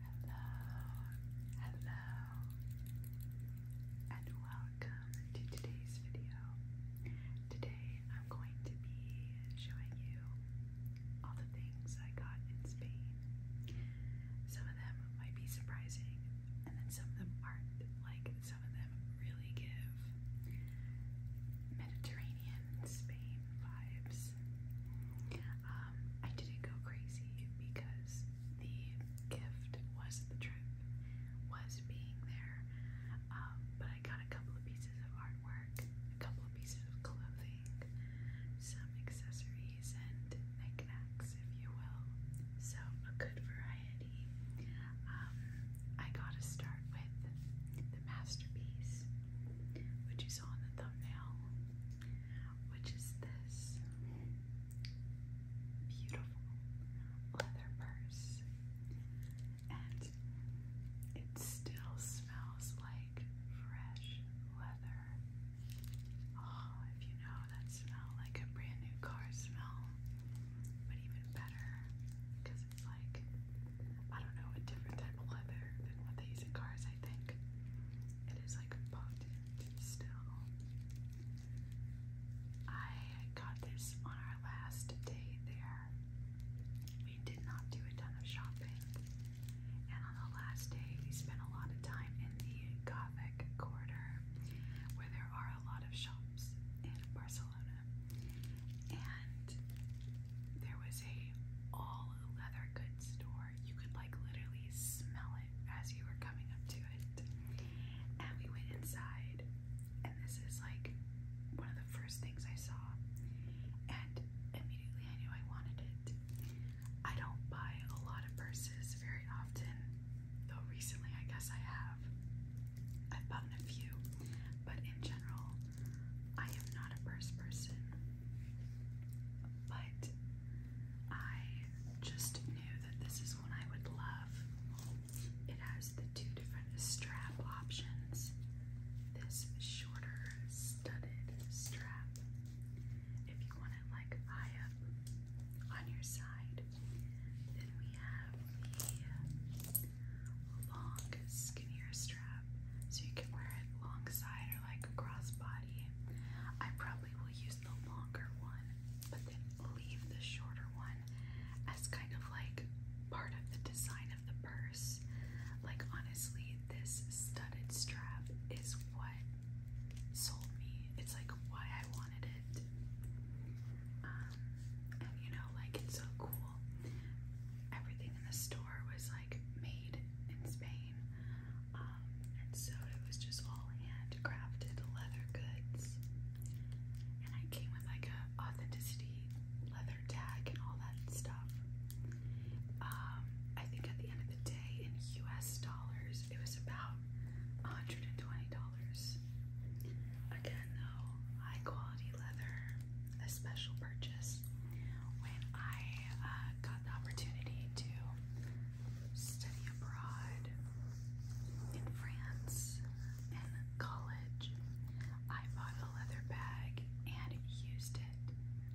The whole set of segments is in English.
Hello, hello, and welcome to today's video. Today I'm going to be showing you all the things I got in Spain. Some of them might be surprising, and then some of them aren't. Like, some of them really give Mediterranean Spain vibes. Um, I didn't go crazy because the gift was the trip, was being there. Um, but I got a couple of pieces of artwork, a couple of pieces of clothing, some accessories, and knickknacks, if you will. So, a good variety. Um, I gotta start with the masterpiece, which you saw in the thumbnail which is this beautiful leather purse. And it still smells like fresh leather. Oh, if you know that smell, like a brand new car smell, but even better because it's like, I don't know, a different type of leather than what they use in cars think. It is like potent still. I got this on our last day there. We did not do a ton of shopping. And on the last day, we spent a lot of time in the Gothic quarter where there are a lot of shops in Barcelona. And there was a all leather goods store door. You could like literally smell it as you were coming up to it. And we went inside, and this is like one of the first things I saw. And immediately I knew I wanted it. I don't buy a lot of purses very often, though recently I guess I have. I've bought a few, but in general, I am not a purse person. But I just knew that this is one I would love. It has the two different strap options this shorter studded strap, if you want it like high up on your side. Then we have the long, skinnier strap, so you can wear it long side or like cross body. I probably will use the longer one, but then leave the shorter one as kind of like part of the design of the purse. Like, honestly, this studded strap is what sold me. It's like why I wanted it. Um, and you know, like, it's so cool. Everything in the store was like made in Spain. Um, and so it was just all handcrafted leather goods. And I came with like a authenticity leather tag and all that stuff. Um, I think at the end of the day in US dollars it was about $120. Again though, high quality leather, a special purchase when I uh, got the opportunity to study abroad in France in college, I bought a leather bag and used it,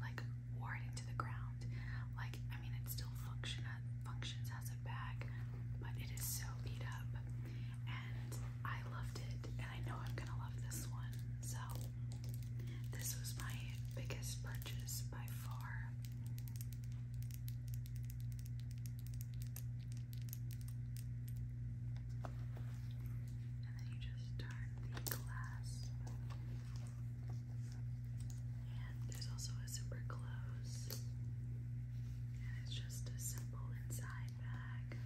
like wore it into the ground. Like I mean, it still function functions as a bag, but it is so beat up, and I loved it, and I know I'm gonna love this one. So this was my biggest purchase by far. And then you just turn the glass. And there's also a zipper close. And it's just a simple inside bag.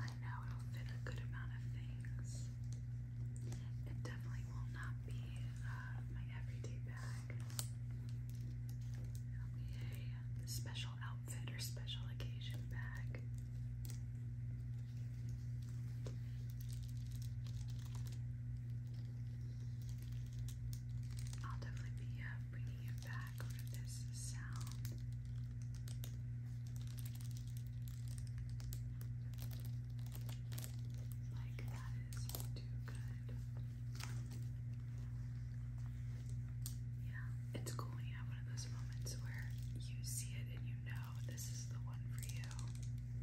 I know it'll fit a good amount of things. It definitely will not be uh, my everyday bag. it a special outfit or special occasion bag. I'll definitely be uh, bringing it back for this sound. Like that is too good. Yeah, it's cool when you have one of those moments where you see it and you know this is the one for you.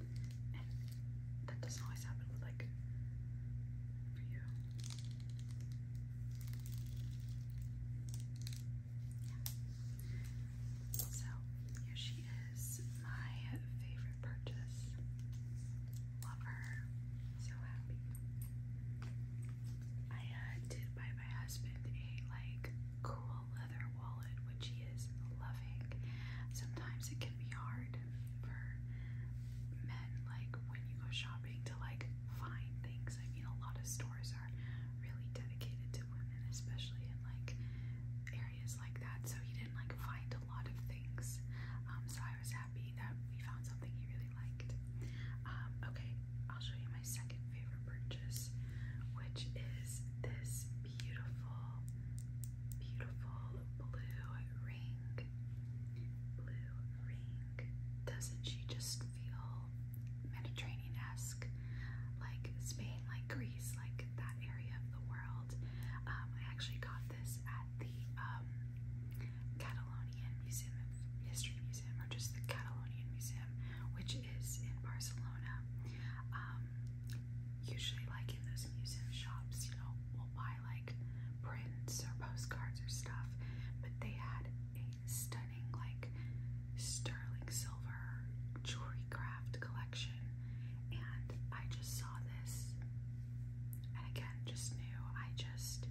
And that doesn't always happen with like for you. Yeah. So here she is, my favorite purchase. Love her. So happy. I uh, did buy my husband a like cool leather wallet, which he is loving. Sometimes it can be hard for men, like when you go shopping, to like find things. I mean, a lot of stores are really dedicated to women, especially in like areas like that. So he didn't like find a lot of things. Um, so I was happy that we found something he really liked. Um, okay, I'll show you my second favorite purchase, which is this beautiful, beautiful blue ring. Blue ring. Doesn't she just feel Mediterranean esque? Like Spain, like Greece, like that area of the world. Um, I actually got this at the um, Catalonian Museum of History Museum, or just the Catalonian Museum, which is in Barcelona, um, usually like in those museum shops, you know, we'll buy like prints or postcards or stuff, but they had a stunning like sterling silver jewelry craft collection, and I just saw this, and again, just knew I just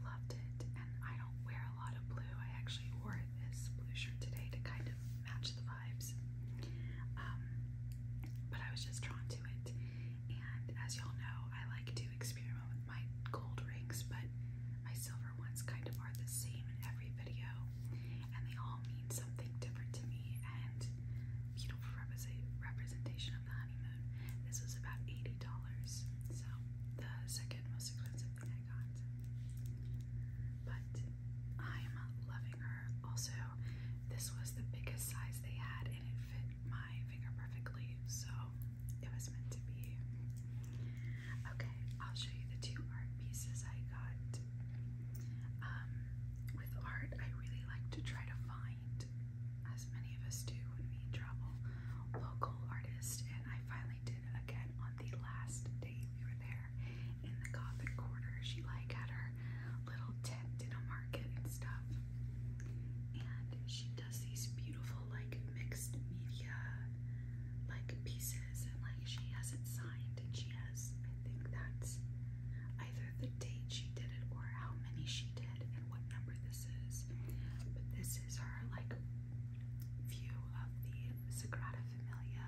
loved it, and I don't wear a lot of blue. I actually wore this blue shirt today to kind of match the vibes. Um, but I was just drawn to it, and as y'all know, I like to experiment with my gold rings, but my silver ones kind of are the same in every video, and they all mean something different to me. And beautiful representation of the honeymoon. This was about eighty dollars, so the second most expensive thing I got. But I'm loving her. Also, this was the biggest size they had and it fit my finger perfectly, so it was meant to be. Okay, I'll show you the two art pieces I got. Um, with art, I really like to try to find, as many of us do when we travel, local artists, and I finally did again on the last Dave, you were there in the Gothic quarter. She like had her little tent in a market and stuff. And she does these beautiful like mixed media like pieces and like she has it signed and she has I think that's either the date she did it or how many she did and what number this is. But this is her like view of the Sagrada Familia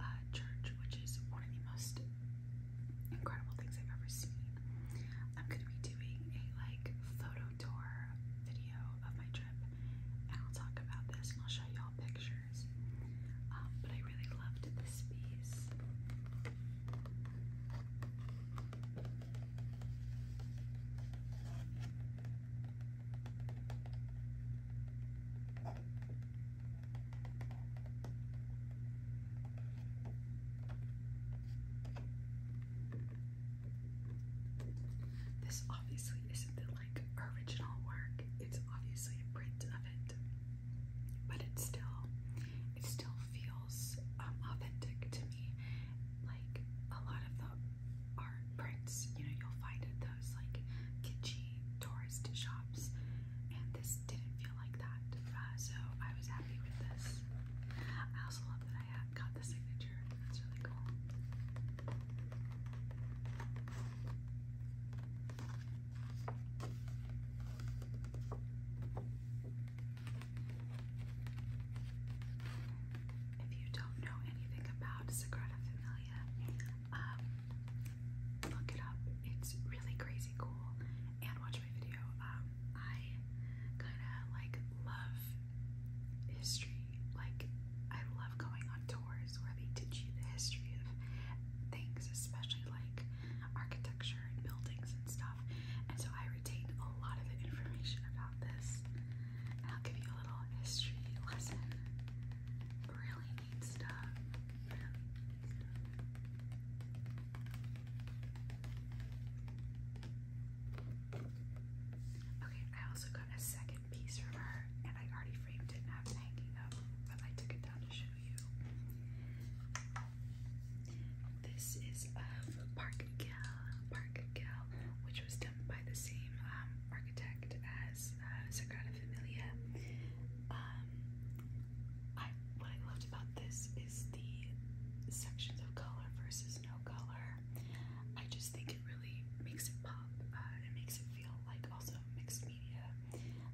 uh, Church, which is one of the most incredible things I've ever seen. I'm gonna be doing a like photo tour video of my trip, and I'll talk about this and I'll show y'all pictures. Um, but I really loved this piece. This obviously isn't the like original work. It's obviously a print of it. But it still it still feels um, authentic to me. Like a lot of the art prints, you know, you'll find at those like kitschy tourist shops, and this didn't feel like that. Uh, so I was happy with this. I also love that I got the signature. That's really cool. If you don't know anything about Sagrada Familia, um, look it up. It's really crazy cool. And watch my video. Um, I kind of like love history. Like I love going on tours where they teach you the history of things, especially like architecture and buildings and stuff. And so I retain a lot of information about this. And I'll give you a little history lesson. Really Okay, I also got a second piece from her, and I already framed it and have it hanging up, but I took it down to show you. This is of Park Gale, Park Gale, which was done by the same um, architect as is Familia. Um, what I loved about this is the sections of color versus no color. I just think it really makes it pop. Uh, it makes it feel like also mixed media,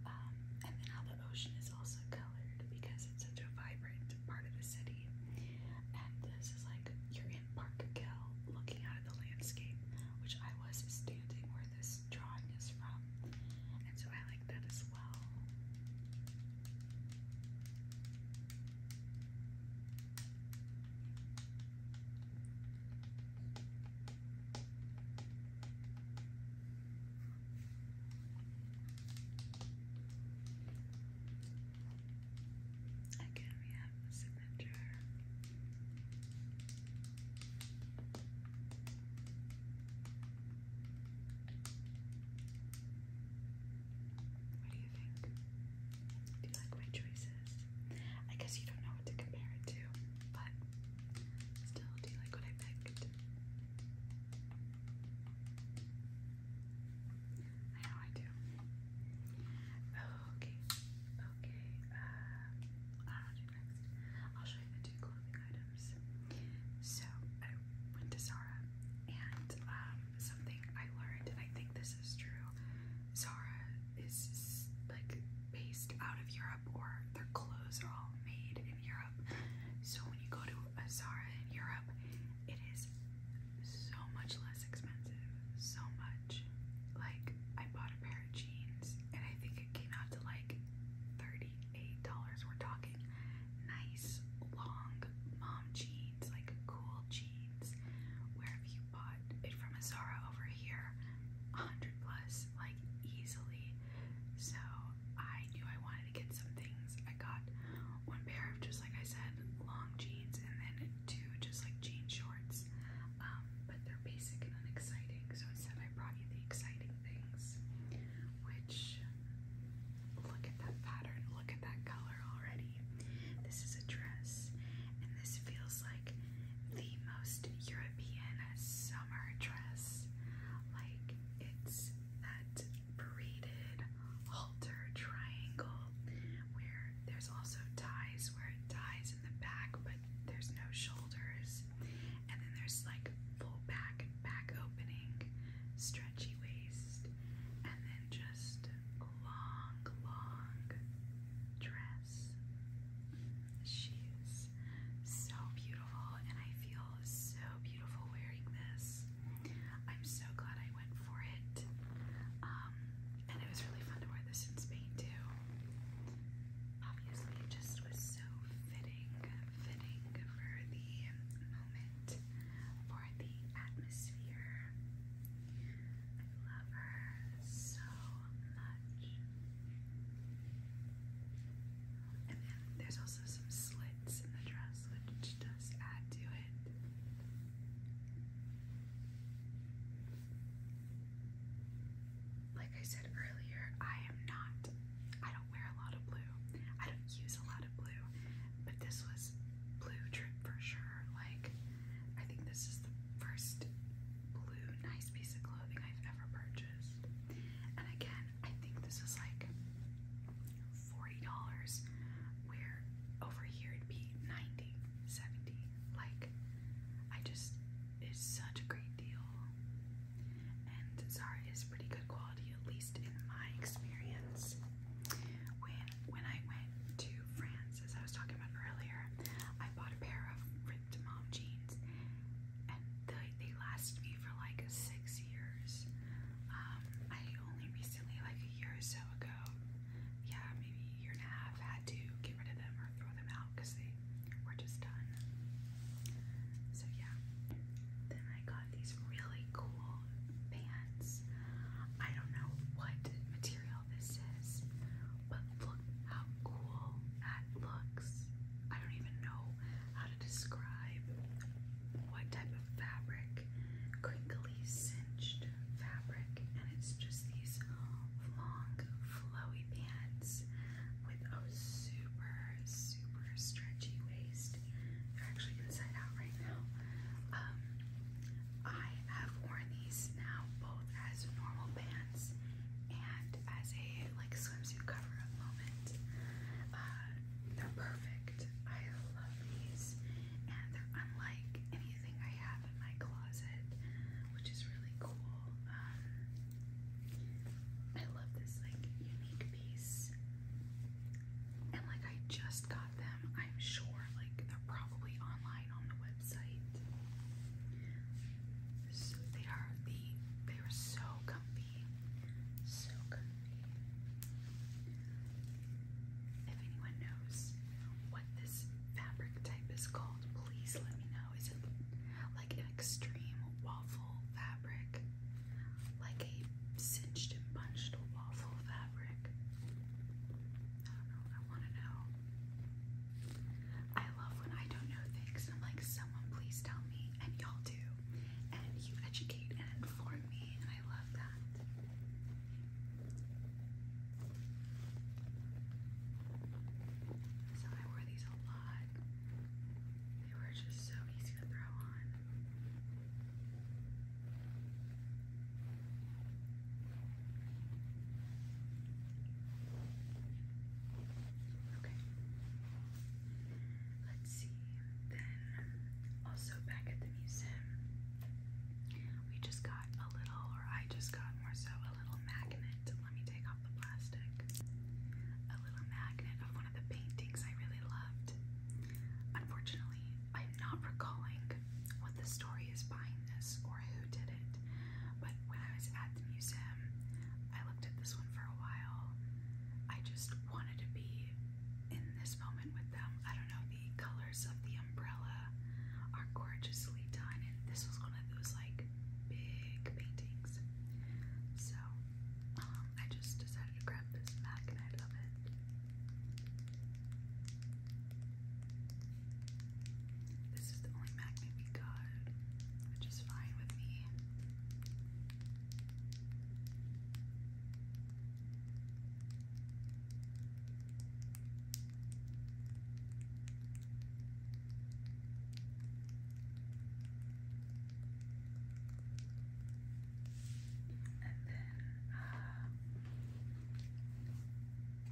um, and then how the ocean is also colored because it's such a vibrant part of the city. And this is like you're in Park Gale looking out at the landscape, which I was standing where this drawing is from. And so I like that as well. Again, we have the signature. What do you think? Do you like my choices? I guess you don't know what to compare it to, but still, do you like what I picked? I know I do. Oh, okay, okay, um, you next. I'll show you the two clothing items. So I went to Zara, and um, something I learned, and I think this is true, Zara is like based out of Europe, or their clothes are all made in Europe. So when you go to a Zara in Europe, it is so much less expensive. So much. Like I bought a pair of jeans, and I think it came out to like like $38. We're talking nice, long mom jeans, like cool jeans. Where have you bought it from a over here, 100 plus, like easily. So I knew I wanted to get some things. I got one pair of just like I said, long jeans, and then two just like jean shorts. Um, but they're basic and unexciting. So instead, I brought you the exciting things. Which, look at that pattern, look at that color already. This is a dress, and this feels like the most European summer dress. Like, it's that braided halter triangle where there's also ties where it ties in the back, but there's no shoulders. And then there's like full back and back opening, stretchy waist, and then just long, long dress. She's so beautiful, and I feel so beautiful wearing this. I'm so glad I went for it. Um, and it was really fun to wear this in Spain too. Obviously, it just was so fitting, fitting for the moment, for the atmosphere. I love her so much. And then there's also some slits in the dress, which does add to it like I said earlier, I am not, I don't wear a lot of blue. I don't use a lot of blue, but this was blue trip for sure. Like, I think this is the first blue nice piece of clothing I've ever purchased. And again, I think this was like $40, where over here it'd be 90 70 Like, I just, it's such a great deal. And Zara is pretty good quality, at least in my experience. When when I went to France, as I was talking about earlier, I bought a pair of ripped mom jeans, and they they lasted me for like six years. Um, I only recently, like a year or so ago, yeah, maybe a year and a half, had to get rid of them or throw them out because they were just done. So yeah. Then I got these really cool pants. I don't know what material this is, but look how cool that looks. I don't even know how to describe what type of fabric, crinkly, cinched fabric, and it's just these long, flowy pants with a super, super stretchy waist. They're actually inside out right now. Um, I have worn these now both as normal pants and as a like swimsuit cover-up moment. Uh, they're perfect. I love these, and they're unlike anything I have in my closet, which is really cool. Um, I love this like unique piece. And like I just got them. I'm sure like they're probably online on the website. they are the they were so comfy. So comfy. If anyone knows what this fabric type is called, please let me know. Is it like an extreme waffle fabric, like a cinched and bunched waffle fabric. I don't know. I want to know. I love when I don't know things. I'm like, someone please tell me, and y'all do, and you educate and inform me, and I love that. So I wear these a lot. They were just so easy to throw on. Okay. Let's see. Then, also back at the museum, we just got a little, or I just got more so, a little magnet let me take off the plastic. A little magnet of one of the paintings I really loved. Unfortunately, I'm not recalling what the story is behind this or who did it, but when I was at the museum, I looked at this one for a while. I just wanted to be in this moment with them. I don't know, the colors of the umbrella are gorgeously done, and this was one of those like big paintings. So um, I just decided to grab this MAC and I love it. This is the only magnet we got, which is fine with me. And then uh,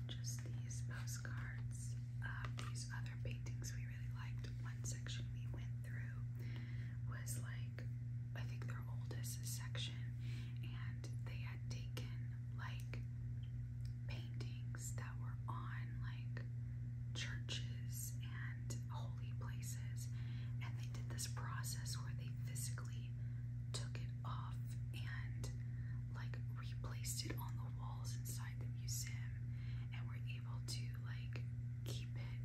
just these postcards these other paintings we really liked. One section we went through was like, I think their oldest section, and they had taken like paintings that were on like churches and different holy places, and they did this process where they physically took it off and like replaced it on the walls inside the museum, and were able to like keep it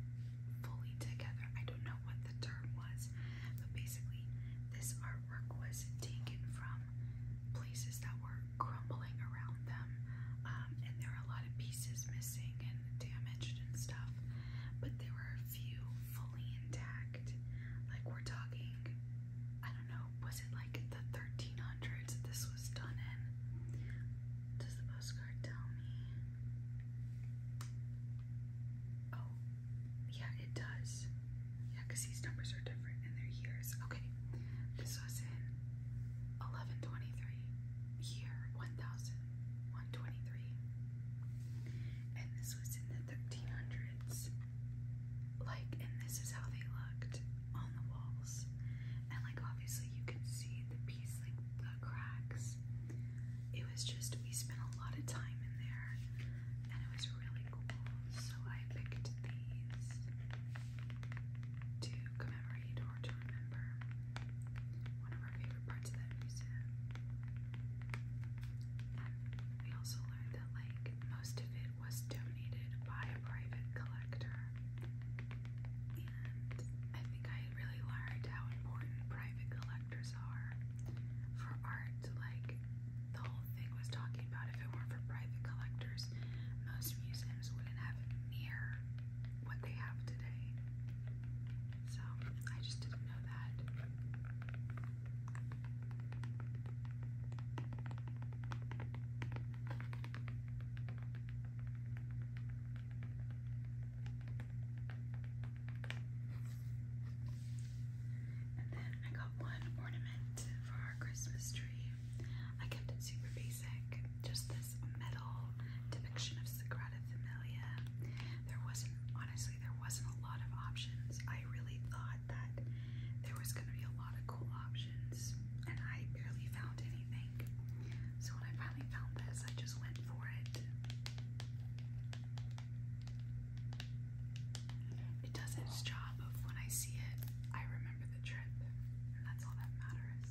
fully together. I don't know what the term was, but basically, this artwork was taken from places that were crumbling around on them, um, and there were a lot of pieces missing and damaged and stuff, but there were a few fully intact. Like, we're talking, I don't know, was it like the 1300s this was done in? Does the postcard tell me? Oh, yeah, it does. Yeah, because these numbers are different in their years. Okay, this was in 1123 year 1123. And this was in the 1300s. Like, and this is how they looked on the walls. And, like, obviously, you can see the piece, like, the cracks. It was just, we spent a lot of time in there, and it was really cool. So, I picked these to commemorate hard to remember. One of our favorite parts of that museum. we also learned that like most of it was donated by a private collector. And I think I really learned how important private collectors are for art. Like the whole thing was talking about if it weren't for private collectors, most museums wouldn't have near what they have today. So I just didn't know that. And then I got one ornament for our Christmas tree. I kept it super basic, just the metal depiction of Sagrada Familia. There wasn't, honestly, there wasn't a lot of options. I really thought that there was going to be a lot of cool options, and I barely found anything. So when I finally found this, I just went for it. It does its job of when I see it, I remember the trip, and that's all that matters.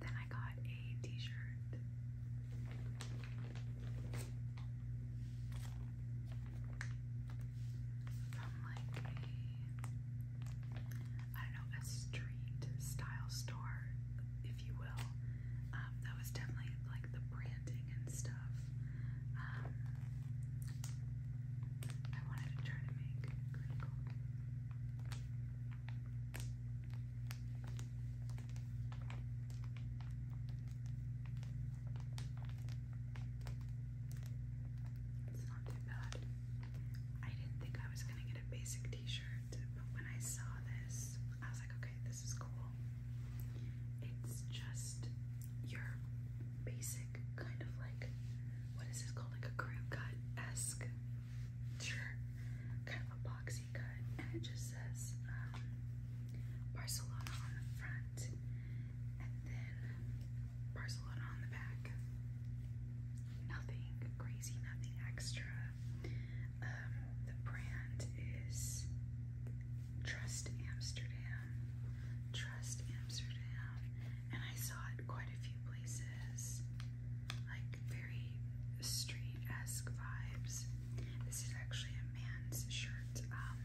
Then I got a t-shirt. From like a, I don't know, a street style store, if you will. Um, that was definitely like the branding and stuff. Um, I wanted to try to make it's not too bad. I didn't think I was gonna get a basic t-shirt, but when I saw this, I was like, okay, this is cool. It's just your basic kind of like what is this called? Like a crew cut esque shirt, kind of a boxy cut, and it just says um, Barcelona on the front, and then Barcelona on the back. Nothing crazy, nothing extra. Um, the brand is Trust Amsterdam. Trust Amsterdam. And I saw it quite a few places. Like like very street-esque vibes. This is actually a man's shirt. Um,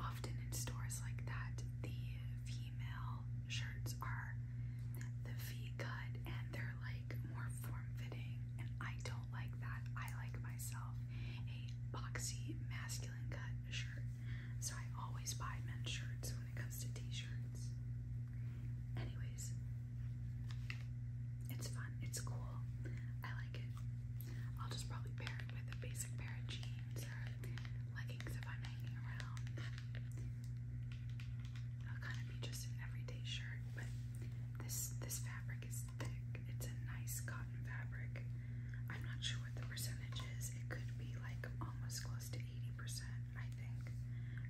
often in stores like that, the female shirts are the V-cut and they're like more form-fitting, and I don't like that. I like myself a boxy, masculine cut shirt. So I always buy men's shirts when it comes to t-shirts. Anyways, it's fun. It's cool. I like it. I'll just probably pair it with a basic pair of jeans or leggings if I'm hanging around. It'll kind of be just an everyday shirt, but this this fabric is thick. It's a nice cotton fabric. I'm not sure what the percentage is. It could be like almost close. 80%, I think,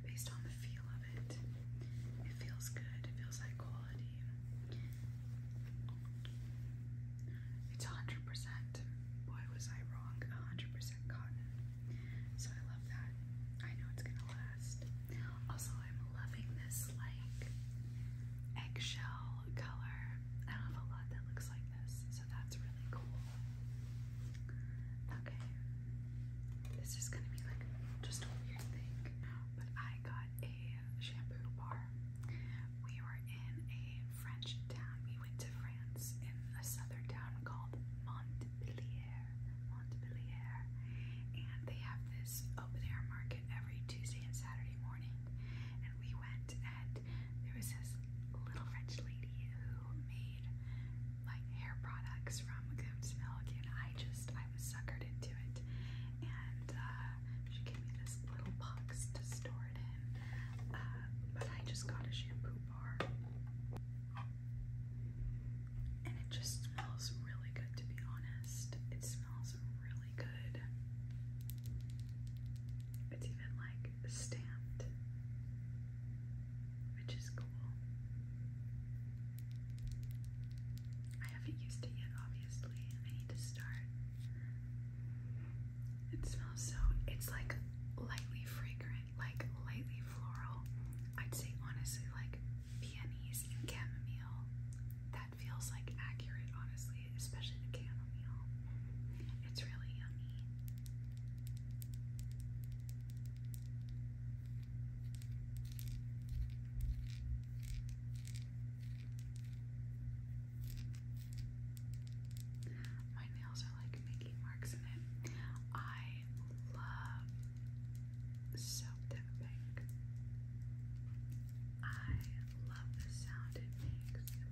based on the feel of it. It feels good, it feels high quality. It's 100%. Boy, was I wrong. 100% cotton. So I love that. I know it's gonna last. Also, I'm loving this like eggshell color. I don't have a lot that looks like this, so that's really cool. Okay. This is gonna be like just a weird thing. But I got a shampoo bar. We were in a French town. We went to France in a southern town called Montpellier. Montpellier. And they have this open air market every Tuesday and Saturday morning. And we went and there was this little French lady who made like hair products from Goon's Milk, and I just I was suckered into it. And uh, she gave me this little box to store it in, uh, but I just got a shampoo bar, and it just smells really good. To be honest, it smells really good. It's even like stamped which is cool. I haven't used it yet, obviously. I need to start. It smells so, it's like lightly fragrant, like lightly floral. I'd say honestly, like peonies and chamomile. That feels like accurate, honestly, especially the chamomile. It's really yummy. My nails are like making marks in it. I love soap tapping. I love the sound it makes.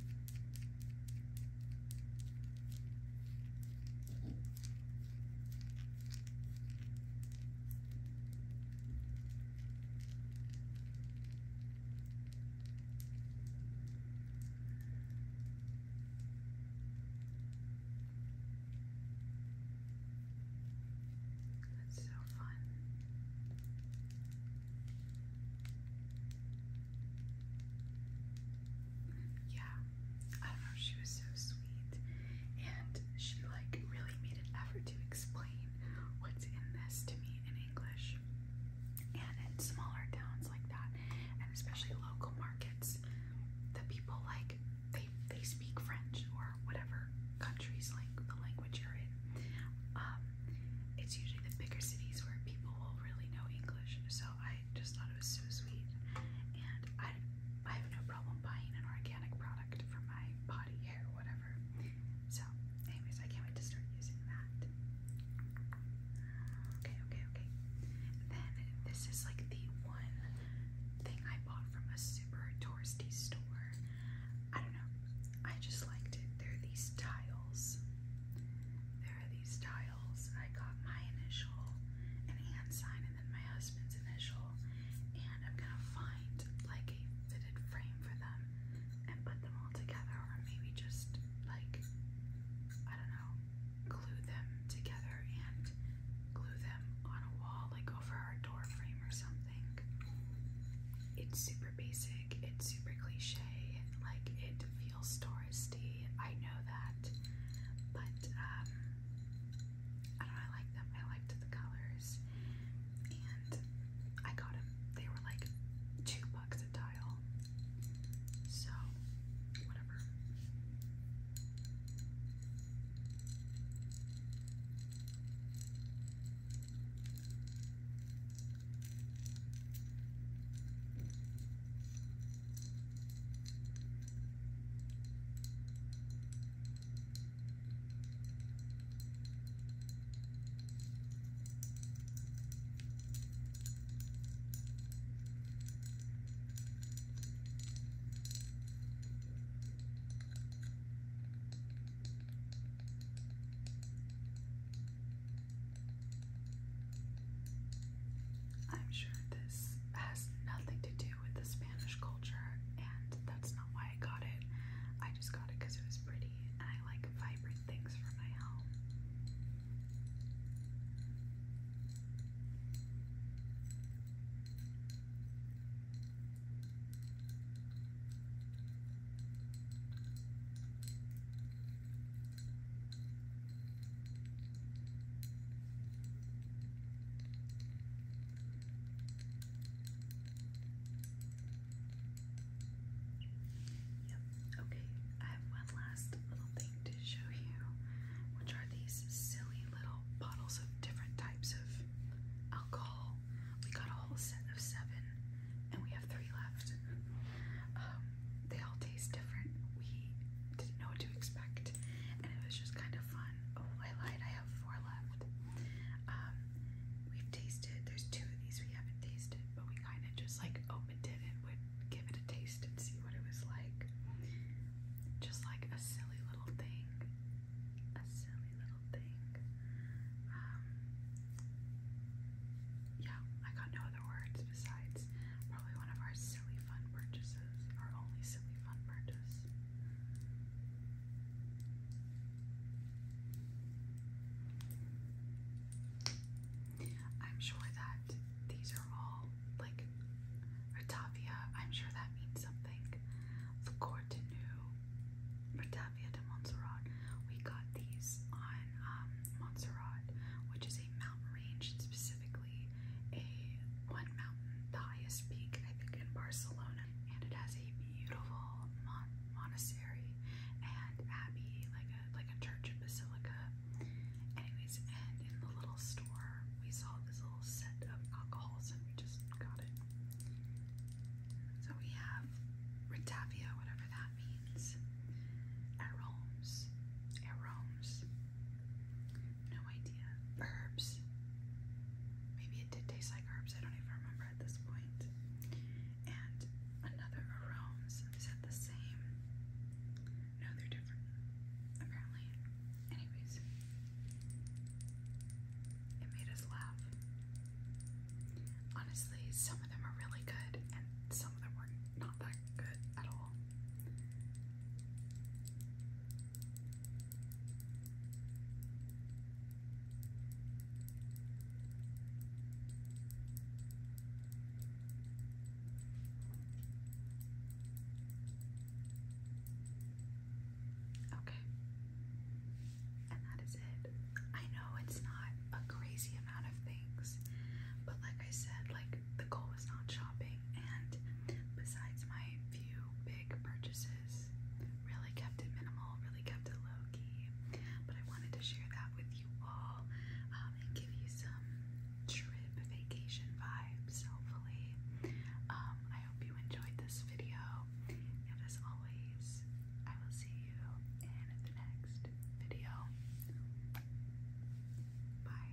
That's so fun yeah, I don't know, she was so sweet. And she like really made an effort to explain what's in this to me in English. And in smaller towns like that, and especially local markets, the people like they they speak French or whatever countries like the language you're in. Um, it's usually the bigger cities where people will really know English. So I just thought it was so sweet, and I I have no problem buying an organic product for my body, hair, whatever. So, anyways, I can't wait to start using that. Okay, okay, okay. Then this is like the one thing I bought from a super touristy store. I don't know. I just liked it. There are these tiles. There are these tiles. I got my initial and hand sign my husband's initial, and I'm gonna find like a fitted frame for them and put them all together, or maybe just like I don't know, glue them together and glue them on a wall, like over our door frame or something. It's super basic, it's super cliche, like it feels touristy. I know that, but um, I like them. I liked the colors. And I got them. They were like two bucks a tile. So, whatever. I'm sure this has nothing to do with the Spanish culture, and that's not why I got it. I just got it because it was pretty, and I like vibrant things for my home. Yep. Okay, I have one last little thing to show you, which are these silly little bottles of different types of alcohol. We got a whole set of seven, and we have three left. Um, they all taste different. We didn't know what to expect and it was just kind of fun. Oh, I lied. I have four left. Um, we've tasted. There's two of these we haven't tasted, but we kind of just like opened it and would give it a taste and see what it was like. Just like a silly little thing. A silly little thing. Um, yeah, I got no other words besides probably one of our silly fun purchases are only silly fun purchase. I'm sure that these are all like Ratavia, I'm sure that means something. The Cortinu, Ratavia de Montserrat. We got these on um, Montserrat, which is a mountain range specifically actually a one mountain, the highest peak I think in Barcelona, and it has a beautiful mon monastery and abbey, like a like a church and basilica. Anyways, and in the little store we saw this little set of alcohols, and we just got it. So we have Ritavia, whatever that means. Aromes, aromes. No idea. Herbs. Maybe it did taste like herbs. I don't even remember at this point. And another aromas. Is that the same? No, they're different. Apparently. Anyways. It made us laugh. Honestly, some of them are really good and some of them were not that good at all. Okay. And that is it. I know it's not a crazy amount of things, but like I said, like the goal is not shopping and besides my few big purchases. Really kept it minimal, really kept it low key. But I wanted to share that with you all um, and give you some trip vacation vibes, hopefully. Um, I hope you enjoyed this video. And as always, I will see you in the next video. Bye.